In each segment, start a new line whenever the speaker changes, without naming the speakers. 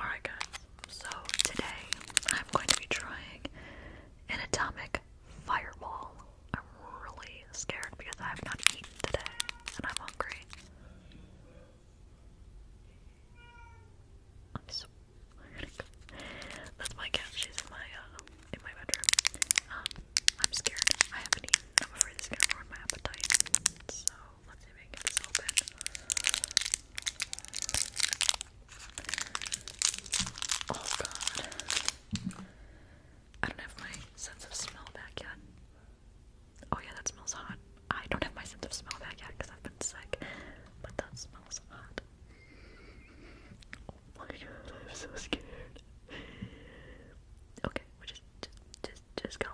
Alright, guys, so today I'm going to be trying an fireball. I'm really scared because I have not eaten today and I'm hungry. That's my cat. She's in my uh, in my bedroom. Um, I'm scared. I haven't eaten. I'm afraid this is gonna ruin my appetite. So let's see if I can open. Oh god. I don't have my sense of smell back yet. Oh yeah, that smells hot. I don't have my sense of smell back yet because I've been sick. But that smells hot. Oh my god, I'm so scared. Okay, we're just, just, just go.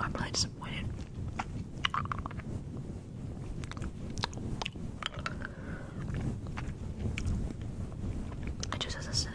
I'm really disappointed. It just has a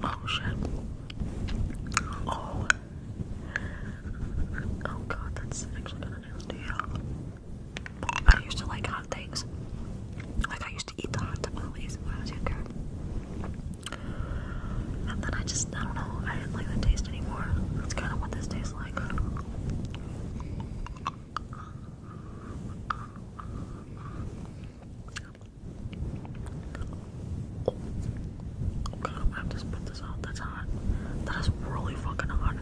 Motion. Oh. Oh god, that's actually gonna do I used to like hot things. Like I used to eat the hot tamales when I was younger. And then I just, I don't know, I didn't like the taste anymore. That's kind of what this tastes like i have to put this out. That's hot. That is really fucking hot.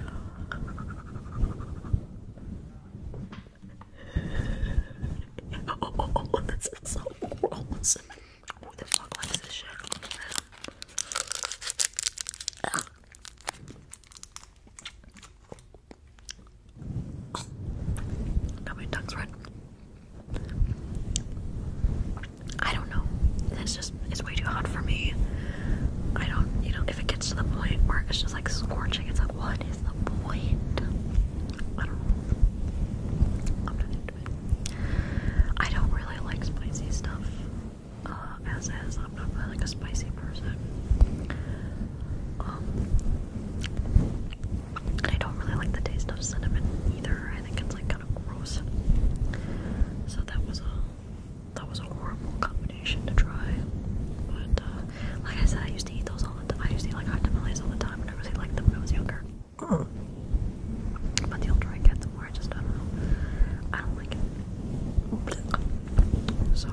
oh, this is so gross. Who the fuck likes this shit? Now my tongue's red. I don't know. It's just it's way too hot for me. I don't you know if it gets to the point where it's just like scorching, it's like what is the point? I don't I don't really like spicy stuff uh, as I'm not really a spicy person. Um, I don't really like the taste of cinnamon either. I think it's like kind of gross. So that was a that was a horrible combination to try. But uh, like I said, I used to eat those all the time. I used to eat like hot tamales all the time, and I really liked them when I was younger. But the older I get, the more I just don't know. I don't like it. So,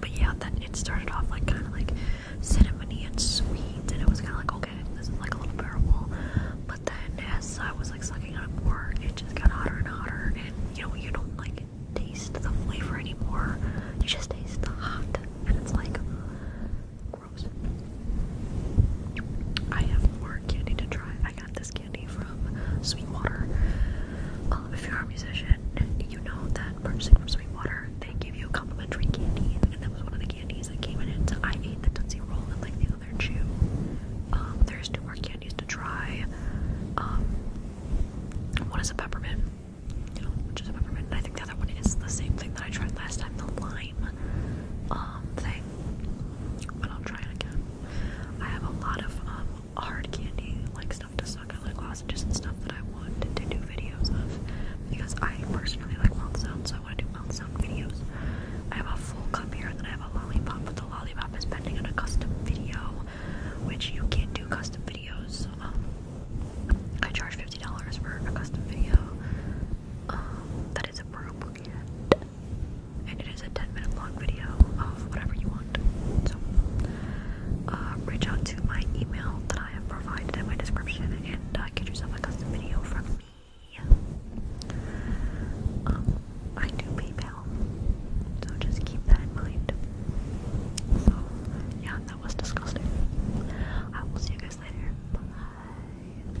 but yeah, that it started off like kind of like cinnamony and sweet, and it was kind of like okay, this is like a little bearable. But then as I was like sucking on it more, it just got hotter and hotter, and you know you don't like taste the flavor anymore. You just taste the hot, and it's like gross. I have more candy to try. I got this candy from Sweetwater. Um, if you're a musician, you know that purchasing from Sweetwater, they give you a complimentary candy, and that was one of the candies that came in it. I ate the Tootsie Roll and like the other chew. Um, there's two more candies to try. What um, is a peppermint, which is a peppermint, I think the other one is the same thing that I tried last time, the lime thing. But I'll try it again. I have a lot of um, hard candy, like stuff to suck like lozenges and stuff that I want to do videos of because I personally like mouth sounds, so I want to do mouth sound videos. I have a full cup here, and then I have a lollipop, but the lollipop is pending on a custom video, which you can't do custom videos. Um, I charge $50 for a custom video um, That is a that is approved and it is a 10 minute long video of whatever you want. So, uh, reach out to my email that I have provided in my description and uh, get yourself a custom video from me. Um, I do PayPal, so just keep that in mind. So, yeah, that was disgusting. I will see you guys later. Bye.